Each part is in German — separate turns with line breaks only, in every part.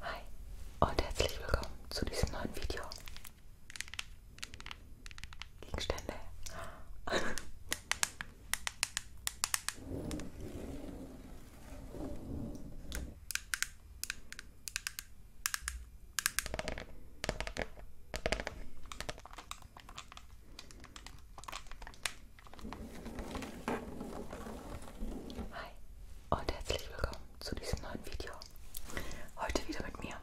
Hi und herzlich willkommen zu diesem neuen Video. Gegenstände. Hi und herzlich willkommen zu diesem neuen Video. Heute wieder mit mir.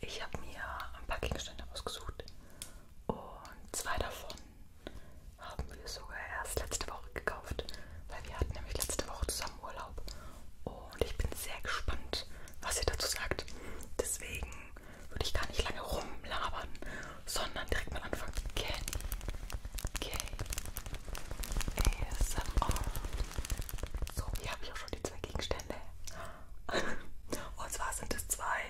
Ich habe mir ein paar Gegenstände ausgesucht und zwei davon haben wir sogar erst letzte Woche gekauft, weil wir hatten nämlich letzte Woche zusammen Urlaub und ich bin sehr gespannt, was ihr dazu sagt. Deswegen würde ich gar nicht lange rumlabern, sondern direkt mal anfangen. Okay. Okay. ASMR. So, hier habe ich auch schon die zwei Gegenstände. Und zwar sind es zwei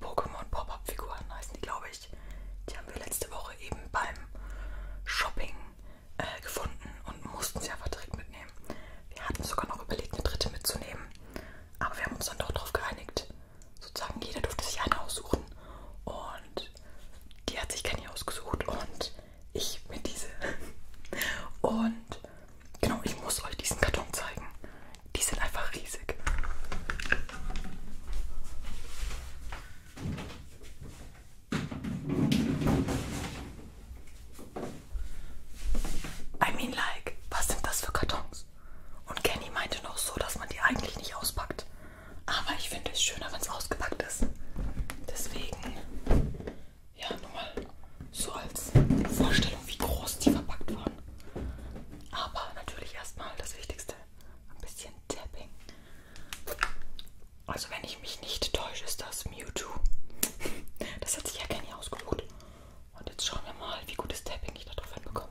Pokémon Pop-Up-Figuren, heißen die, glaube ich. Die haben wir letzte Woche eben beim Shopping äh, gefunden und mussten sie einfach direkt mitnehmen. Wir hatten sogar noch überlegt, eine dritte mitzunehmen. Aber wir haben uns dann doch darauf geeinigt. Sozusagen jeder durfte sich eine aussuchen. Und und die hat sich Kenny ausgesucht und ich mir diese. Und genau, ich muss euch diesen Karton zeigen. Die sind einfach riesig. I mean like, was sind das für Kartons? Und Kenny meinte noch so, dass man die eigentlich nicht auspackt. Aber ich finde es schöner, wenn es ausgepackt ist. Deswegen, ja, nur mal so als Vorstellung, wie groß die verpackt waren. Aber natürlich erstmal das Wichtigste: ein bisschen Tapping. Also, wenn ich mich nicht täusche, ist das Mewtwo. Das hat sich ja gar nicht ausgelobt. Und jetzt schauen wir mal, wie gutes Tapping ich da drauf hinbekomme.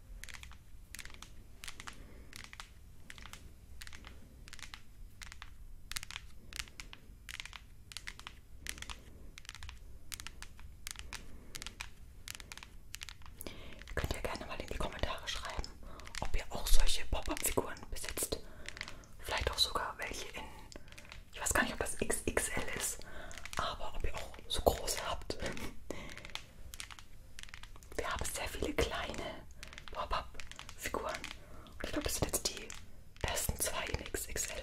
Könnt ihr gerne mal in die Kommentare schreiben, ob ihr auch solche Pop-Up-Figuren besitzt. Vielleicht auch sogar welche in, ich weiß gar nicht, ob das XXL ist, aber ob ihr auch auch so groß habt. Wir haben sehr viele kleine Pop-Up-Figuren. Und ich glaube, das sind jetzt die ersten zwei in XXL.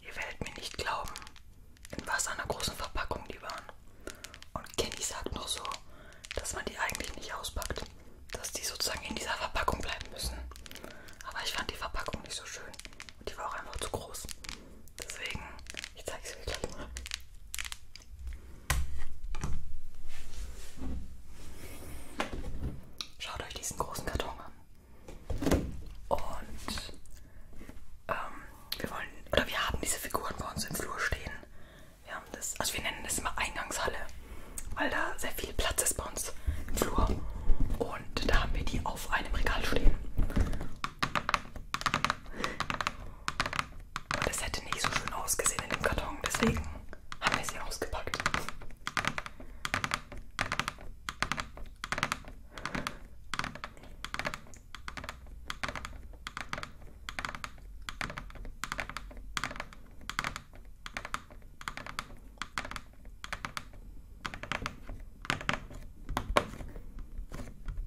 Ihr werdet mir nicht glauben, in was einer großen Verpackung die waren. Und Kenny sagt noch so, dass man die eigentlich nicht auspackt, dass die sozusagen in dieser Verpackung bleiben müssen. Aber ich fand die Verpackung nicht so schön und die war auch einfach zu groß. Deswegen ich zeig's euch gleich mal. Schaut euch diesen großen Karton an. Und ähm, wir wollen, oder wir haben diese Figuren bei uns im Flur stehen. Wir haben das, also wir nennen das immer Eingangshalle, weil da sehr viel Platz ist bei uns im Flur. Und da haben wir die auf einem Regal stehen. Und es hätte nicht so schön ausgesehen in dem Karton, deswegen haben wir sie ausgepackt.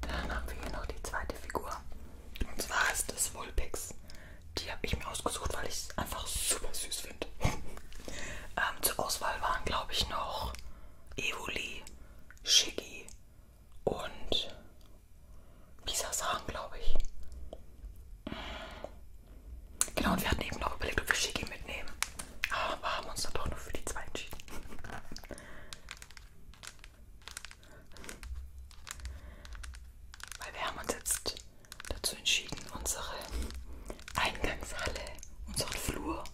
Dann haben wir hier noch die zweite Figur. Und zwar ist es Vulpix. Die habe ich mir ausgesucht, weil ich es einfach super süß finde. ähm, zur Auswahl waren, glaube ich, noch Evoli, Shiggy und Misasan, glaube ich. Genau, und wir hatten eben noch überlegt, ob wir Shiggy mitnehmen. Aber haben uns dann doch nur für die zwei entschieden. Weil wir haben uns jetzt dazu entschieden, unsere Eingangshalle, unseren Flur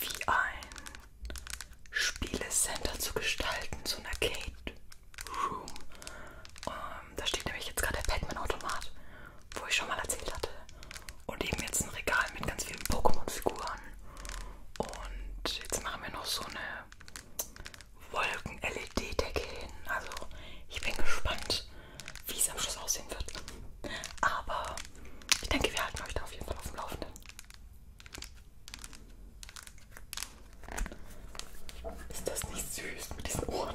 wie ein Spielecenter zu gestalten, so ein Arcade Room. Um, ähm, da steht nämlich jetzt gerade der Pac-Man-Automat, wo ich schon mal erzählt hatte. Und eben jetzt ein Regal mit ganz vielen Pokémon-Figuren. Und jetzt machen wir noch so eine Wolken-LED-Decke hin. Also ich bin gespannt, wie es am Schluss aussehen wird. Aber ich denke, wir halten euch da auf jeden Fall auf dem Laufenden. Ist das nicht süß mit diesen Ohren?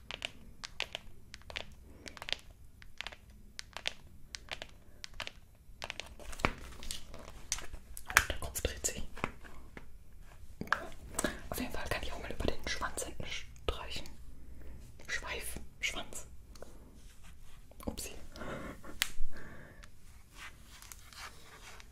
Und der Kopf dreht sich. Auf jeden Fall kann ich auch mal über den Schwanz hinten streichen. Schweif, Schwanz. Upsi.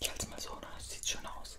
Ich halte es mal so, ne? das sieht schön aus.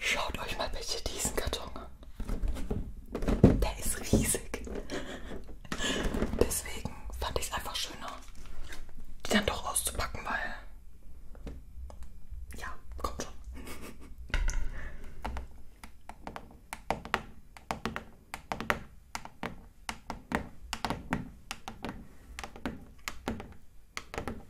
Schaut euch mal bitte diesen Karton an. Der ist riesig. Deswegen fand ich es einfach schöner, die dann doch auszupacken, weil. Ja, kommt schon.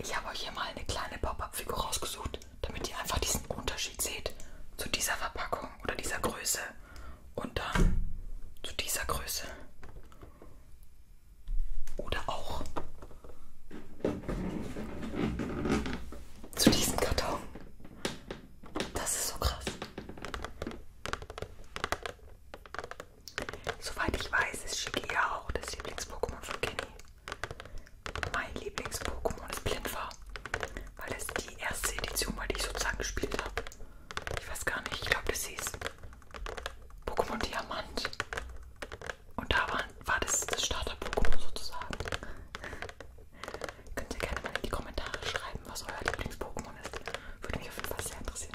Ich habe euch hier mal eine kleine Pop-up-Figur rausgesucht, damit ihr einfach diesen Unterschied seht zu dieser Verpackung oder dieser Größe und dann zu dieser Größe oder auch zu diesem Karton. Das ist so krass. Soweit ich weiß, ist Shigia auch das Lieblings-Pokémon von Kenny. Mein Lieblings-Pokémon ist Blindfar, weil das die erste Edition war, die ich sozusagen gespielt habe. Ich weiß gar nicht, ich glaube, das hieß Pokémon Diamant. Und da war, war das, das Starter-Pokémon sozusagen. Könnt ihr gerne mal in die Kommentare schreiben, was euer Lieblings-Pokémon ist. Würde mich auf jeden Fall sehr interessieren.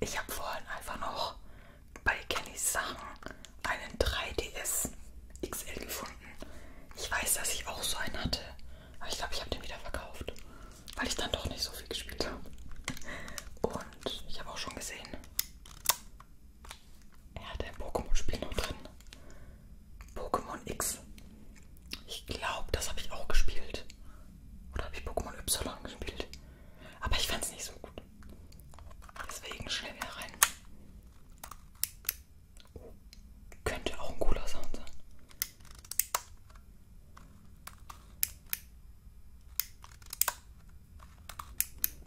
Ich habe vorhin einfach noch bei Kennys Sachen einen 3DS XL gefunden. Ich weiß, dass ich auch so einen hatte. Aber ich glaube, ich habe den wieder verkauft. Weil ich dann doch nicht so viel gespielt habe. Und ich habe auch schon gesehen, er hat ein Pokémon-Spiel noch drin. Pokémon X. Ich glaube, das habe ich auch gespielt. Oder habe ich Pokémon Y gespielt? Aber ich fand es nicht so gut. Deswegen schnell wieder rein. Könnte auch ein cooler Sound sein.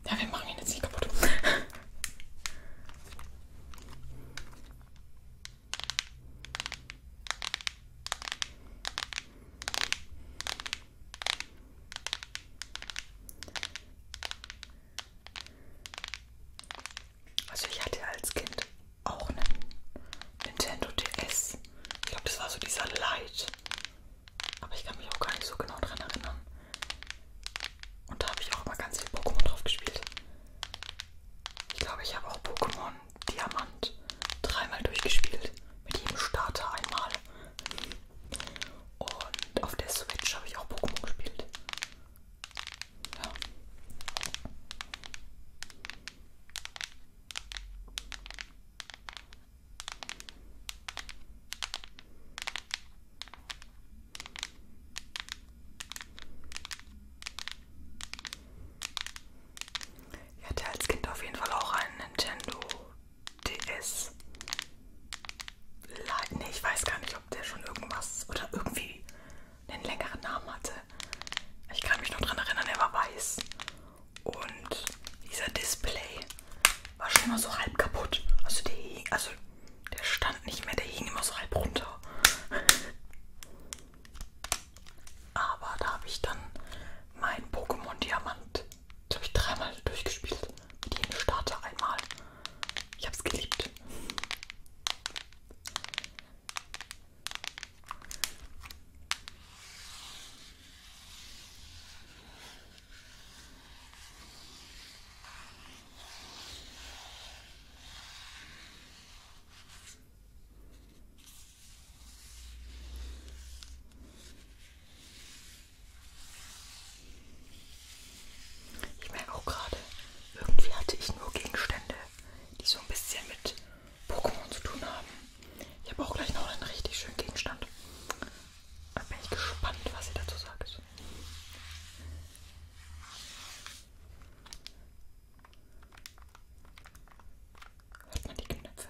Ja, wir machen ihn jetzt nicht kaputt. Also ich hatte als Kind auch einen Nintendo DS. Ich glaube, das war so dieser Light. Aber ich kann mich auch gar nicht so genau dran erinnern. Und da habe ich auch mal ganz viel Pokémon drauf gespielt. Ich glaube, ich habe auch Pokémon Diamant dreimal durchgespielt. Mit jedem Starter einmal. Und auf der Switch habe ich auch Pokémon gespielt. Ja. Ich hatte als Kind auf jeden Fall auch einen Nintendo DS. Leid, nee, ich weiß gar nicht ich glaube, der schon irgendwas oder irgendwie einen längeren Namen hatte. Ich kann mich noch dran erinnern, der war weiß. Und dieser Display war schon immer so halb kaputt. Also der, also der stand nicht mehr, der hing immer so halb runter. Aber da habe ich dann mein Pokémon Diamant, das habe ich dreimal durchgespielt mit jedem Starter einmal. Ich hab's geliebt. Ich merke auch gerade, irgendwie hatte ich nur Gegenstände, die so ein bisschen mit Pokémon zu tun haben. Ich habe auch gleich noch einen richtig schönen Gegenstand. Da bin ich gespannt, was ihr dazu sagt. Hört man die Knöpfe?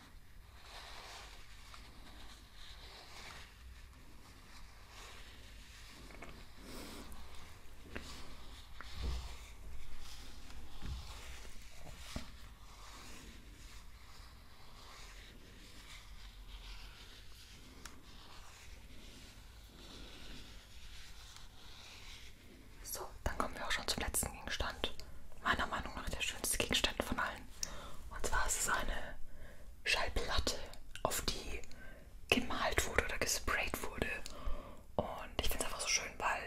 So, dann kommen wir auch schon zum letzten Gegenstand. Meiner Meinung nach der schönste Gegenstand von allen. Und zwar ist es eine Schallplatte, auf die gemalt wurde oder gesprayt wurde. Und ich finde es einfach so schön, weil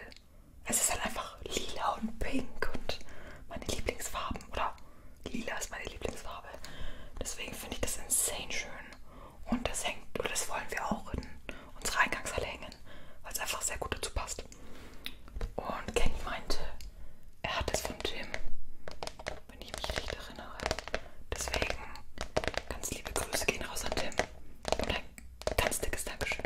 es ist halt einfach lila und pink und meine Lieblingsfarben. Oder lila ist meine Lieblingsfarbe. Deswegen finde ich das insane schön. Und das hängt, oder das wollen wir auch in unsere Eingangshalle hängen, weil es einfach sehr gut dazu passt benutzt. Und Kenny meinte, er hat es vom Jim, wenn ich mich richtig erinnere. Deswegen ganz liebe Grüße gehen raus an Tim. Und ein ganz dickes Dankeschön.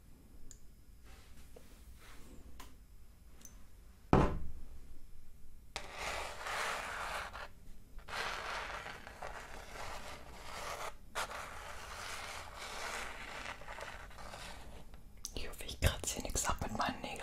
Ich hoffe, ich kratze hier nichts ab mit meinen Nägeln.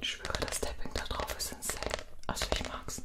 Ich schwöre, das Tapping da drauf ist insane. Also ich mag's sehr.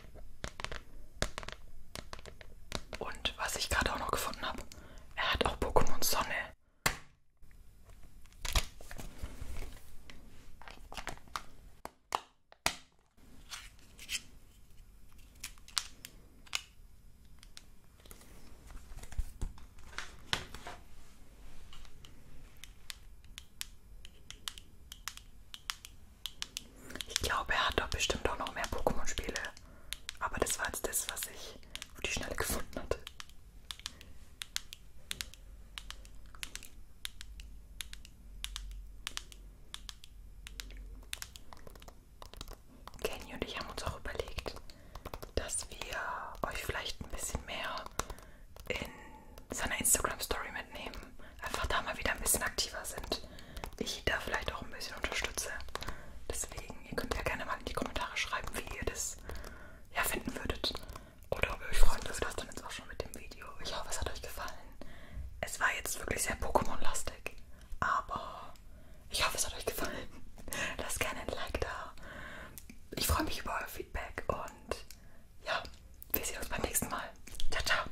Und was ich gerade auch noch gefunden habe, er hat auch Pokémon Sonne. Ich glaube, er hat doch bestimmt auch noch mehr Pokémon-Spiele. Aber das war jetzt das, was ich auf die Schnelle gefunden hatte. Kenny und ich haben uns auch überlegt, dass wir euch vielleicht ein bisschen mehr in seiner Instagram-Story mitnehmen einfach da mal wieder ein bisschen aktiver sind. Ich da vielleicht auch ein bisschen unterstütze. Deswegen, ihr könnt ja gerne mal in die Kommentare schreiben, wie ihr das ja, finden würdet. Oder ob ihr euch freuen würdet. Das dann jetzt auch schon mit dem Video. Ich hoffe, es hat euch gefallen. Es war jetzt wirklich sehr Pokémon-lastig. Aber ich hoffe, es hat euch gefallen. Lasst gerne ein Like da. Ich freue mich über euer Feedback und ja, wir sehen uns beim nächsten Mal. Ciao, ciao.